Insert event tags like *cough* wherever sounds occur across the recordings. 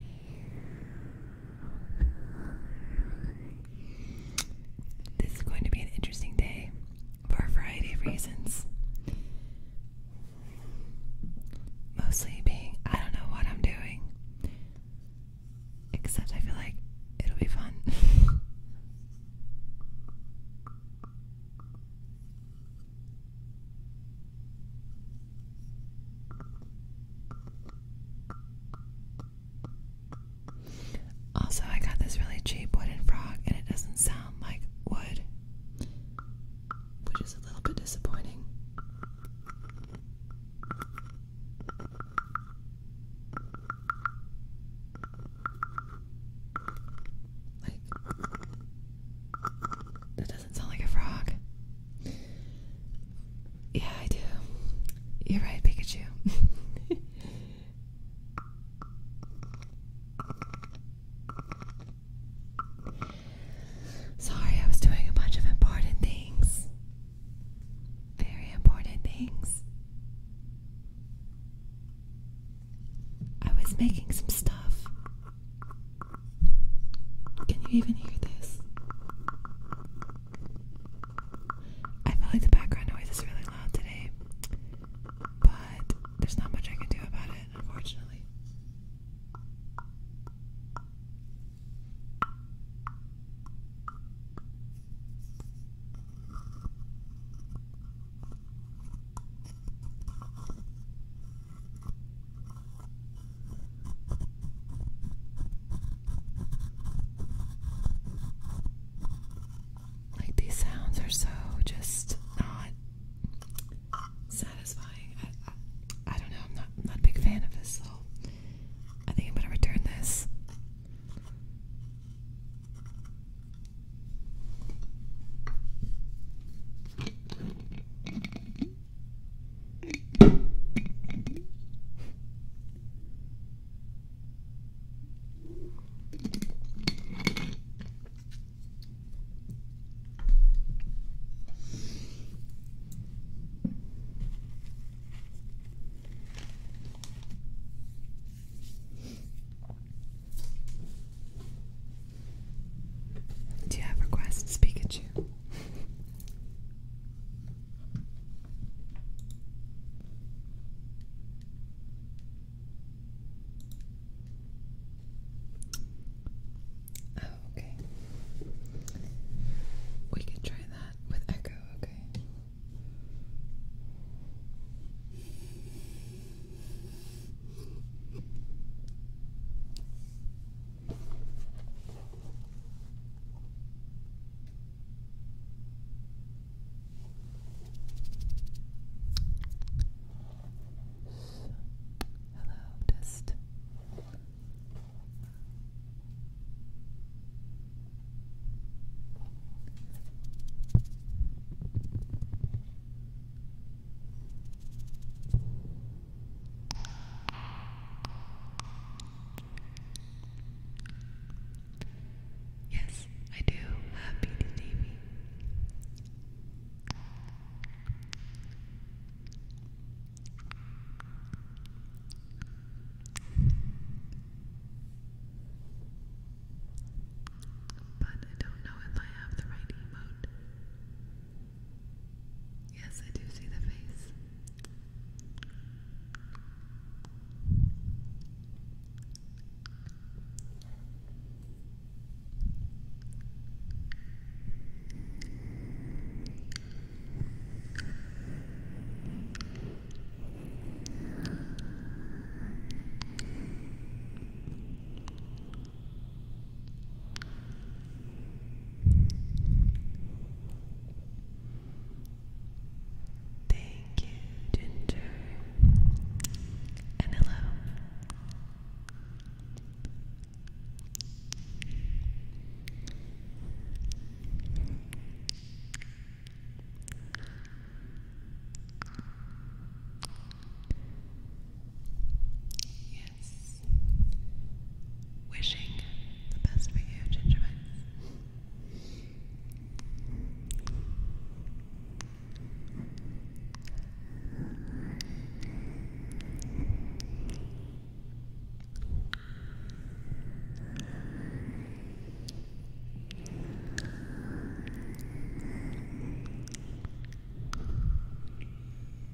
This is going to be an interesting day for a variety of reasons. Mostly being, I don't know what I'm doing. Except I feel like it'll be fun. *laughs* Also, I got this really cheap wooden frog and it doesn't sound like wood, which is a little bit disappointing doesn't sound like a frog. Yeah, I do. You're right, Pikachu. *laughs* Sorry, I was doing a bunch of important things. Very important things. I was making some stuff. Can you even hear this? I feel like the background noise is really loud today, but there's not much I can do about it, unfortunately. Like these sounds are so just not satisfying. I, don't know. I'm not know i am not not a big fan of this, so I think I'm gonna return this. Do you have requests, Pikachu? Oh, okay. We could try that with echo, okay? Hello, dust. Yes, I do. Happy to Davy. But I don't know if I have the right emote. Yes, I do see the face. Thank you, Ginger. And hello. Wishing the best for you, Ginger Thank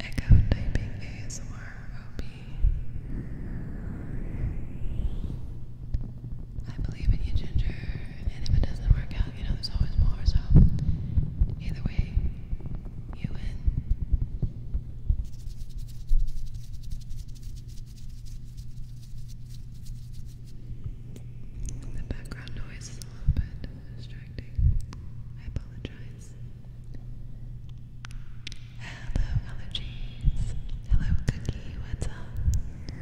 Echo typing ASMR OP. I believe in you, Ginger. And if it doesn't work out, you know, there's always more. So, either way, you win. The background noise is a little bit distracting. I apologize. Hello, allergies. Hello, Cookie. What's up?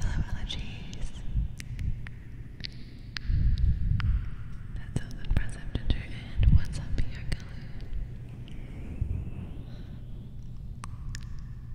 Hello, allergies. That sounds impressive, And what's up here, Kelly?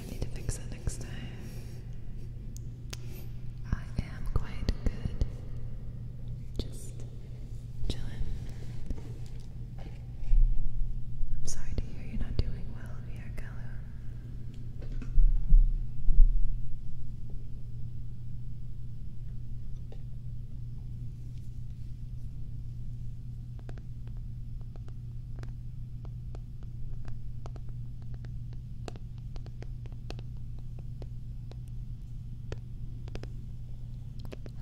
I need to fix it next time. I am quite good. Just chilling. I'm sorry to hear you're not doing well, VR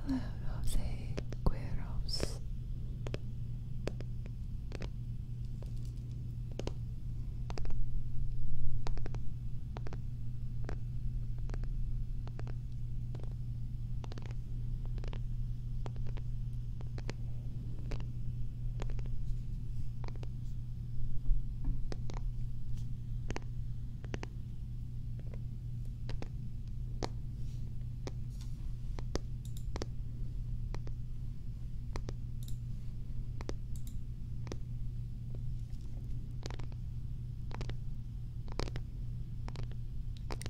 Hello, Jose Gueros.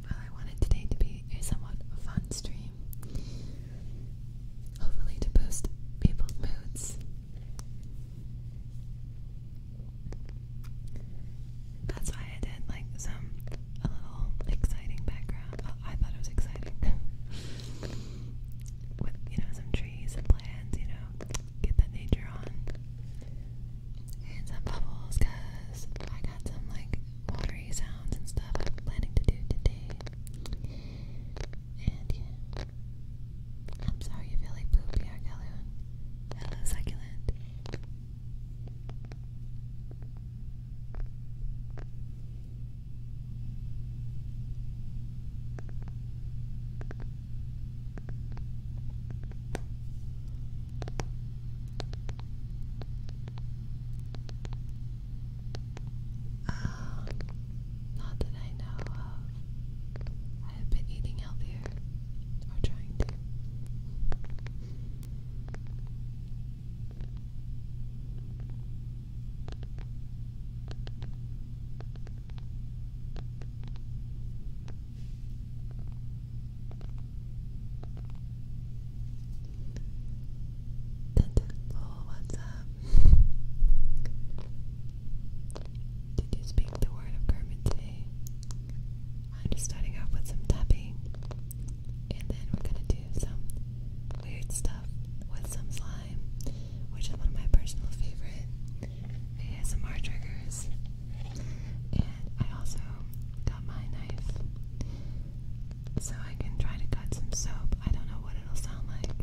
Well, I wanted today to be a somewhat fun stream hopefully to boost people's moods. That's why I did like some a little exciting background. Oh, I thought it was exciting *laughs* with you know some trees and plants. You know, get that nature on and some bubbles, cause I got some like watery sounds and stuff I'm planning to do today. And yeah. I'm sorry you feel like poopy, Arcaloon. Hello, succulent. Um, not that I know of. I have been eating healthier, or trying to. Tentacle, oh, what's up? Did you speak the word of Kermit today? I'm just starting off with some tapping, and then we're gonna do some weird stuff with some slime, which is one of my personal favorite ASMR triggers. And I also got my knife so I can try to cut some soap. I don't know what it'll sound like,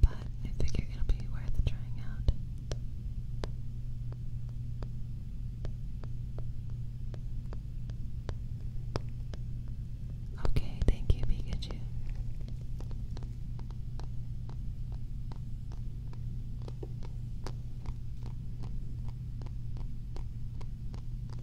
but I figure it'll be worth trying out. Okay, thank you, Pikachu.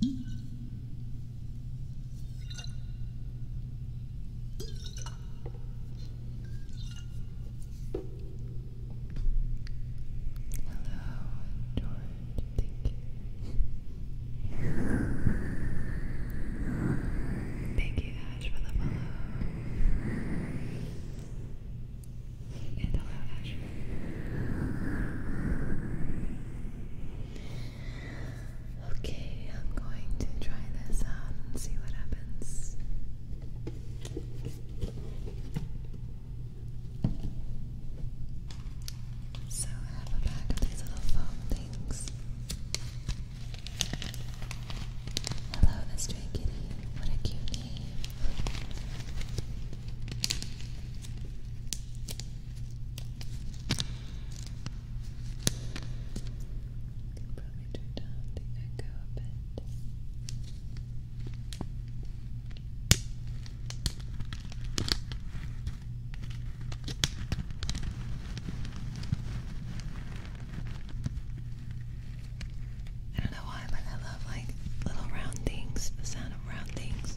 Hello, Dory. Thank you. Thank you, Ash, for the follow. And hello, Ash. Okay, I'm going to try this out and see what happens. So I have a bag of these little foam things. Hello, the kitty. What a cute name. I can probably turn down the echo a bit. I don't know why, but I love like little round things, the sound of round things.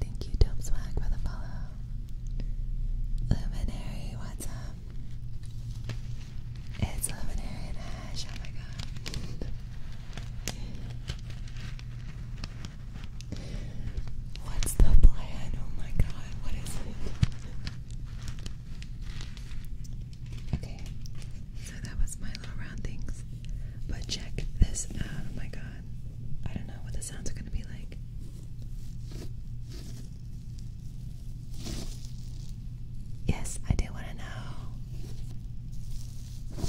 Thank you, Tom Swag, for the follow. Luminary, what's up? It's Luminary oh my god. What's the plan? Oh my god, what is it? Okay, so that was my little round But check this out. Oh my god. I don't know what the sounds are going to be like. Yes, I do want to know.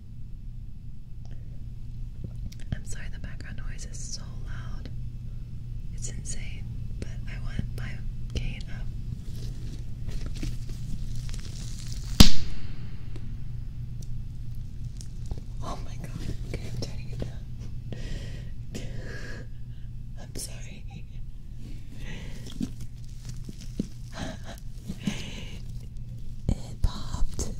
I'm sorry the background noise is so loud. It's insane, but I want my gain up. Oh my god. Okay, I'm turning it down. *laughs* I'm sorry. *laughs* It popped.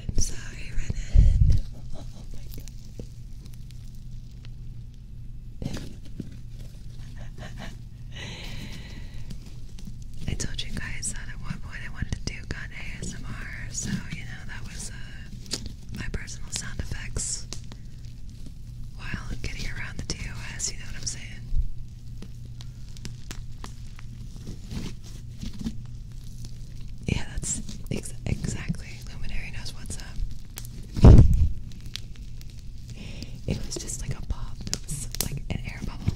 I'm sorry, Renan. *laughs* Oh my god. *laughs* I told you guys that at one point I wanted to do do ASMR, so you know that was uh, my personal sound effects while getting around the TOS. You know what I'm saying? Yeah, that's exactly. Luminary knows what's up. It was just like a pop. It was like an air bubble.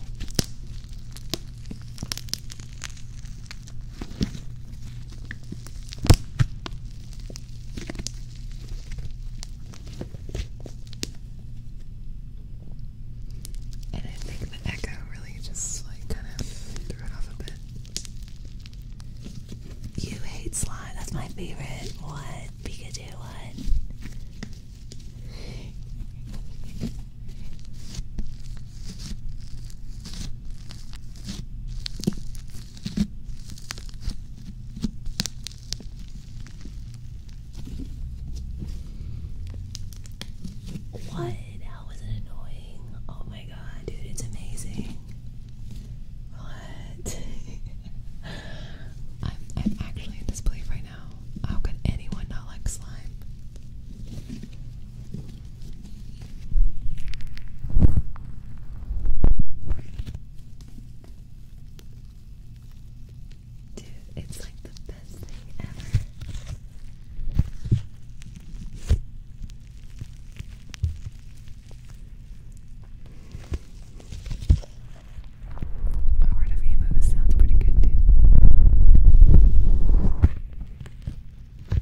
And I think the echo really just like kind of threw it off a bit. You hate slime, that's my favorite. What? Pikachu, what? What? How it annoying? Oh my god, dude, it's amazing. What? *laughs* I'm, I'm actually in disbelief right now. How could anyone not like slime? Dude, it's like the best thing ever. A word of sounds pretty good, dude. I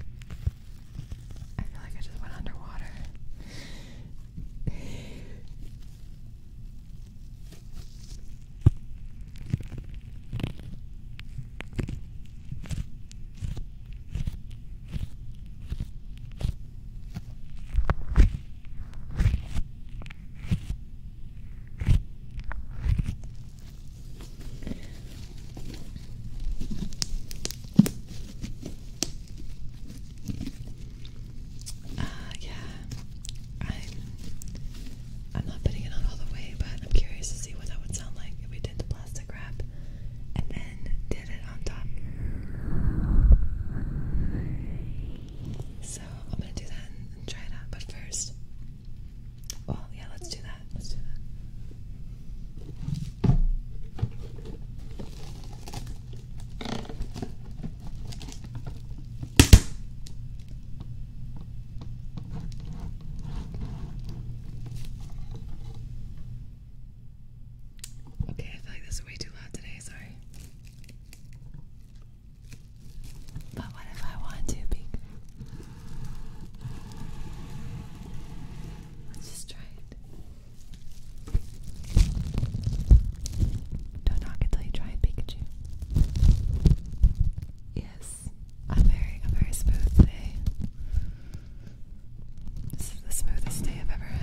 feel like I just went underwater. Uh, yeah, I'm I'm not putting it on all the way, but I'm curious to see what that would sound like if we did the plastic wrap and then did it on top. So I'm gonna do that and try it But first, well, yeah, let's do that. Let's do that. Okay, I feel like this is way too loud today, sorry. But what if I want to be Let's just try it. Don't knock it till you try it, Pikachu. Yes, I'm very, I'm very smooth today. This is the smoothest day I've ever had.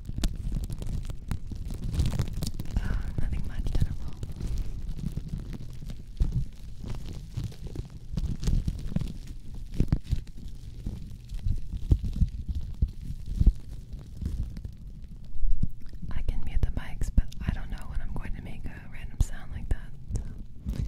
Uh, nothing much terrible. I can mute the mics, but I don't know when I'm going to make a random sound like that.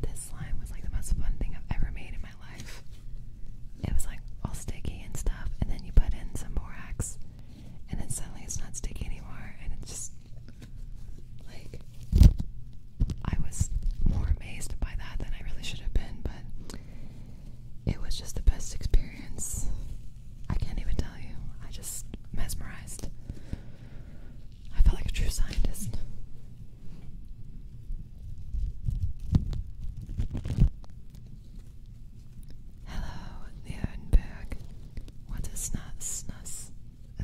This slime was like the most fun thing I've ever made in my life. It was like all sticky and stuff, and then you put in some borax, and then suddenly it's not sticky anymore, and it's just like I was more amazed by that than I really should have been, but it was just the best experience. I can't even tell you. I just mesmerized. I felt like a true scientist. Hello, Leonberg. What is snus? Snus? A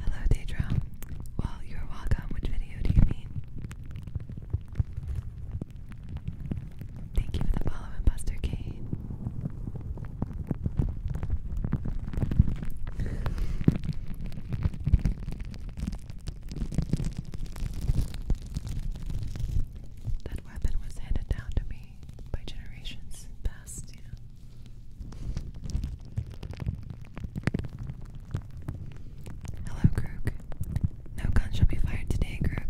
Hello, Daedra. Well, you're welcome. Which video do you mean? Thank you for the follow and Buster Kane. That weapon was handed down to me by generations past, Hello, Crook. No gun shall be fired today, Crook.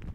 *laughs*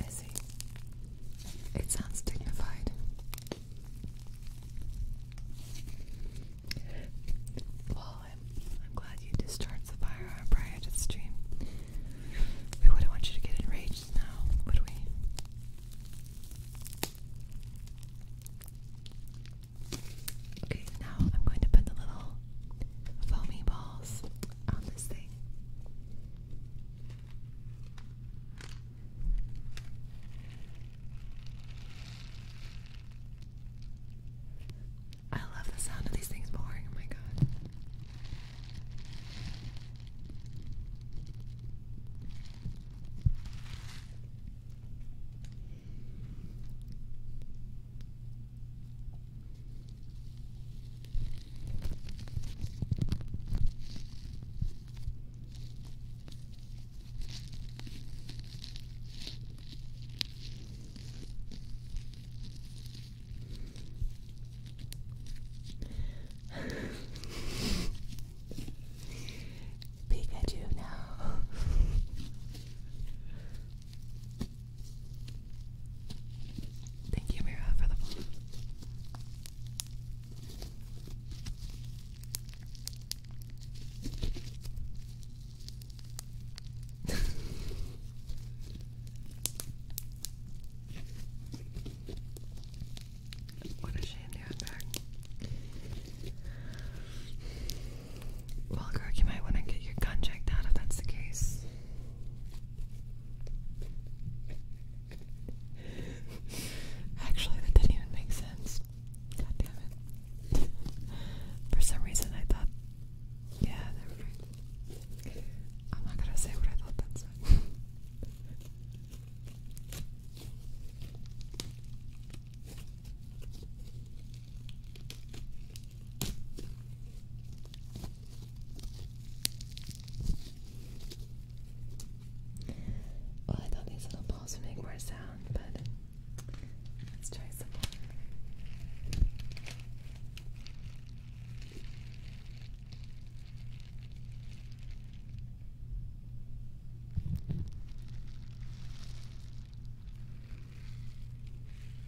I see. It sounds dignified. Well, I'm glad you discharged the firearm prior to the stream. We wouldn't want you to get enraged now, would we? Okay, now I'm going to put the little foamy balls on this thing. I love the sound of these things pouring. Oh my god. Pikachu now. Thank you, Mira, for the follow. *laughs* what a shame to have back. you might want to get your gun checked out if that's the case. Actually, that didn't even make sense. God damn it. For some reason, I thought. Yeah, never mind. I'm not gonna say what I thought that said. Well, I thought these little balls would make more sound, but let's try some more.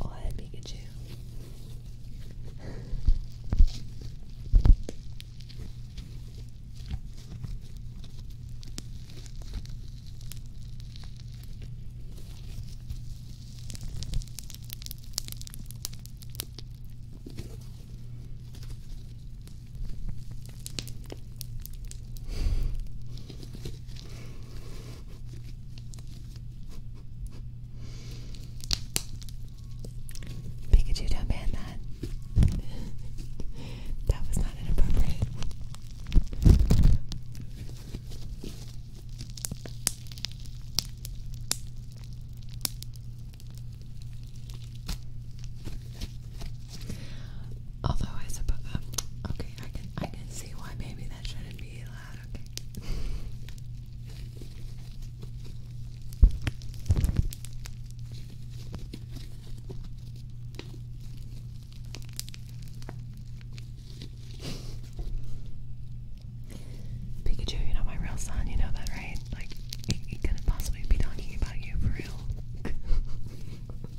Or oh, Pikachu. Pikachu, don't ban that. *laughs* that was not inappropriate. Although I suppose, um, okay, I can I can see why maybe that shouldn't be allowed. Okay. Pikachu, you're not my real son, you know that, right? Like, he, couldn't possibly be talking about you for real. *laughs*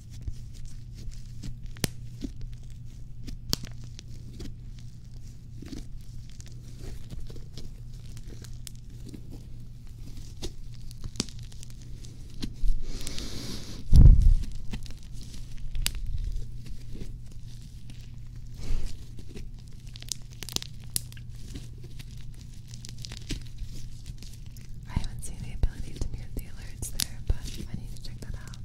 I haven't seen the ability to mute the alerts there, but I need to check that out.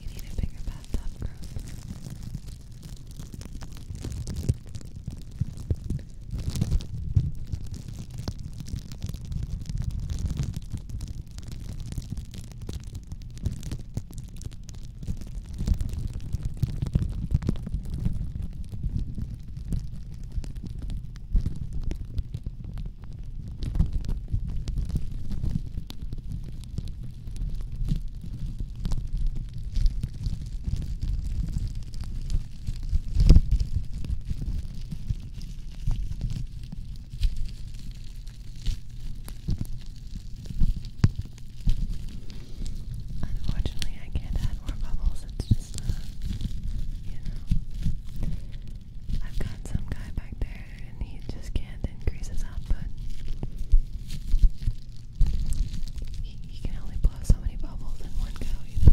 You need a bigger bathtub, Good. Unfortunately, I can't add more bubbles. It's just, uh, you know, I've got some guy back there, and he just can't increase his output. He, can only blow so many bubbles in one go, you know.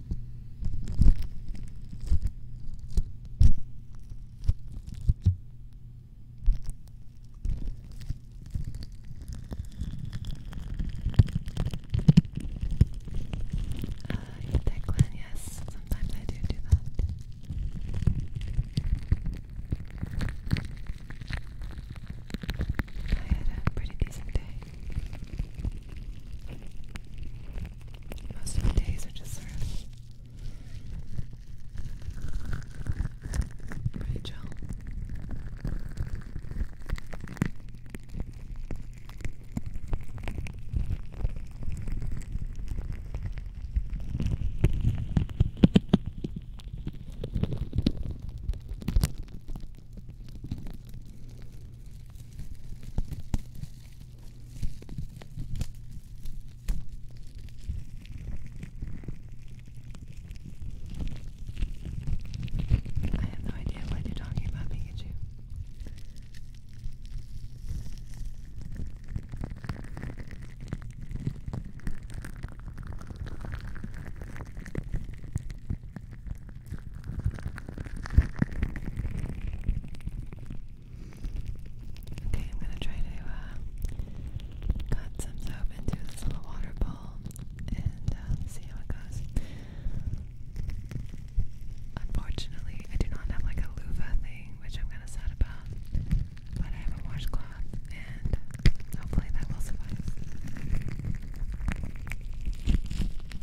Uh, you Yes, sometimes I do do that. I had a pretty decent day. Most of the days are just sort of pretty I have no idea what you're talking about, Pikachu. Okay, I'm gonna try to uh, cut some soap into this little water bowl and uh, see how it goes. Unfortunately, I do not have like a loofah thing, which I'm kind of sad about, but I have a washcloth and hopefully that will suffice.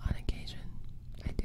On occasion, I do.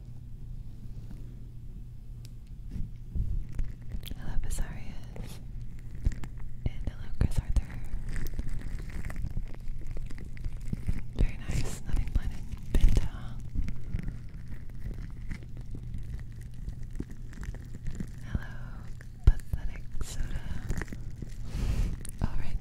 Hello, Basarius. And hello, Chris Arthur. Very nice, nothing planted. Pinta. Hello, pathetic soda. Alright.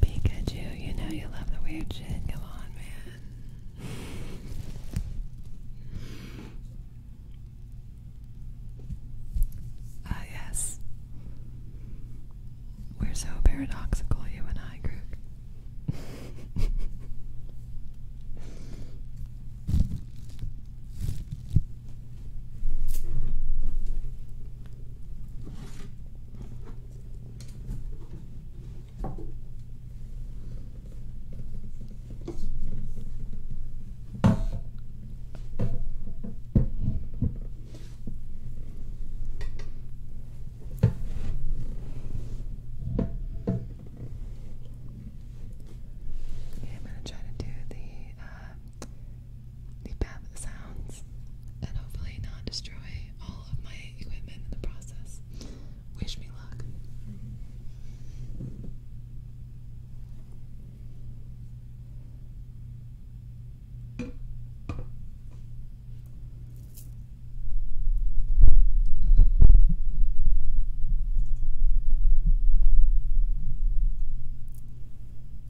Pikachu, you know you love the weird shit. Come on, man. Ah, yes. We're so paradoxical, you and I, Grook. *laughs* Okay, I'm going to try to do the um, the bath sounds and hopefully not destroy all of my equipment in the process. Wish me luck.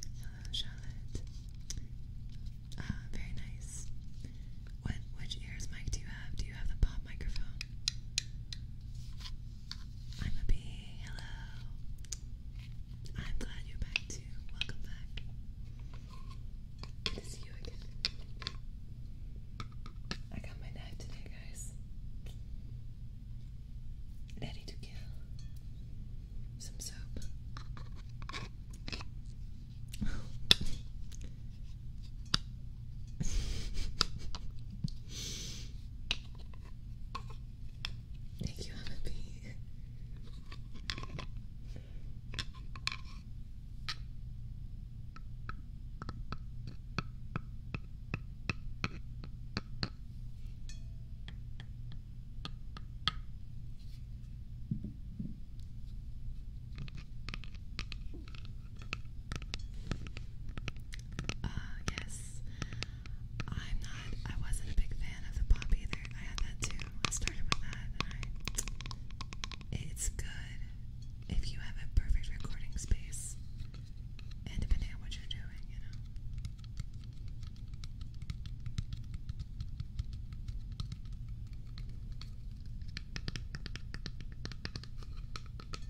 Hello, Charlotte. Ah, very nice. What which ears mic do you have? Do you have the pop microphone? I'm a bee. Hello. I'm glad you're back too. Welcome back. Good you again. I got my knife today, guys. Ready to kill. Some soap. *laughs* Thank you, Emma B. Uh, yes. I'm not, I wasn't a big fan of the pop either. I had that too. I started with that and I, it's good if you have a perfect recording space and depending on what you're doing, you know.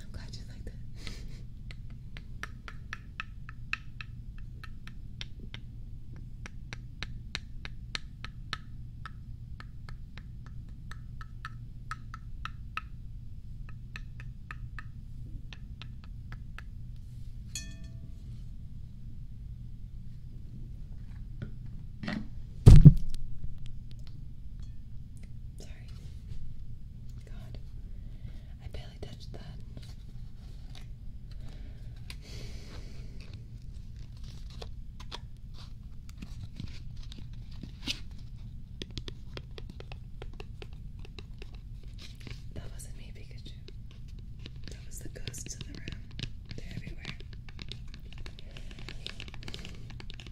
I'm glad you like that. Sorry. God, I barely touched that. That wasn't me, Pikachu. That was the ghosts in the room. They're everywhere.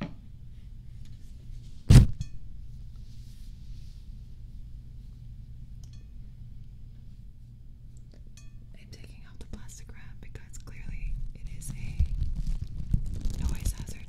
I'm taking out the plastic wrap because clearly it is a noise hazard.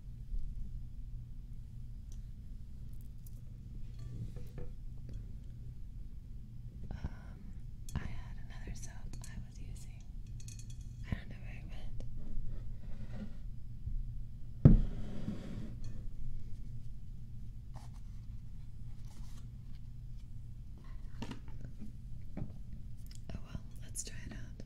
Um, I had another soap I was using. I don't know where it went. Oh well, let's try it out.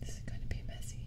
This is going to be messy.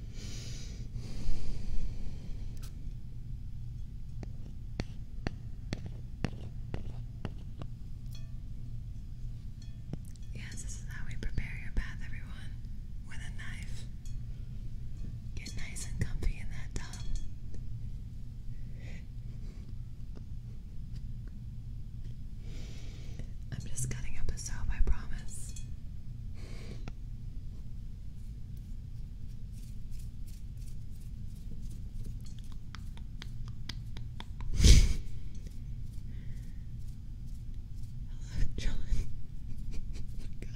Yes, this is how we prepare your bath, everyone, with a knife. Get nice and comfy in that tub. I'm just cutting up a soap, I promise. Hello, John. oh my God.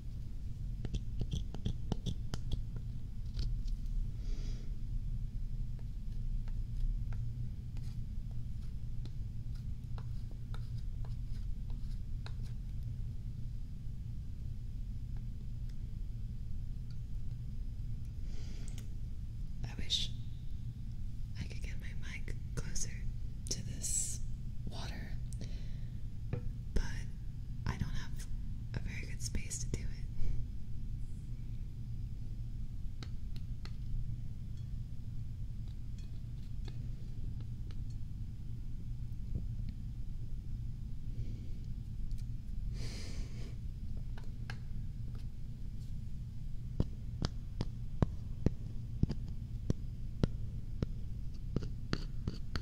I wish I could get my mic closer to this water sure. But I don't have a very good space to do it.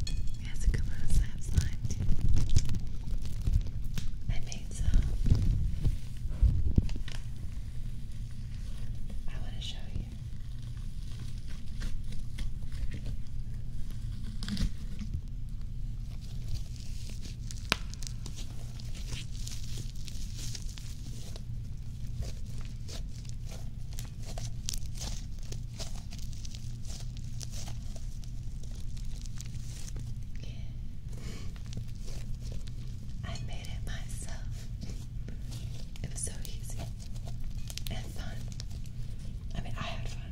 It a good little slap slime too. I made some. I want to show you. I made it myself. It was so easy and fun. I mean, I had fun.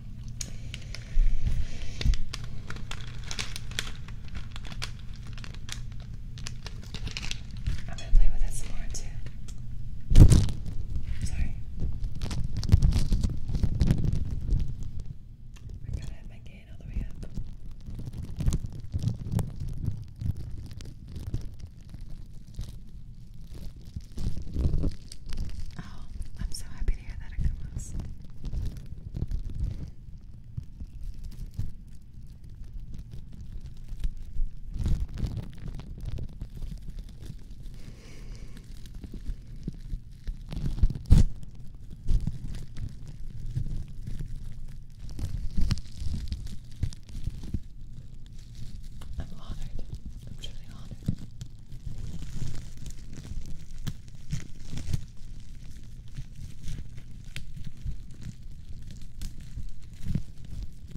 I'm gonna play with it some more too. Sorry. I gotta have my gain all the way up. Oh, I'm so happy to hear that it comes. I'm honored. I'm truly honored.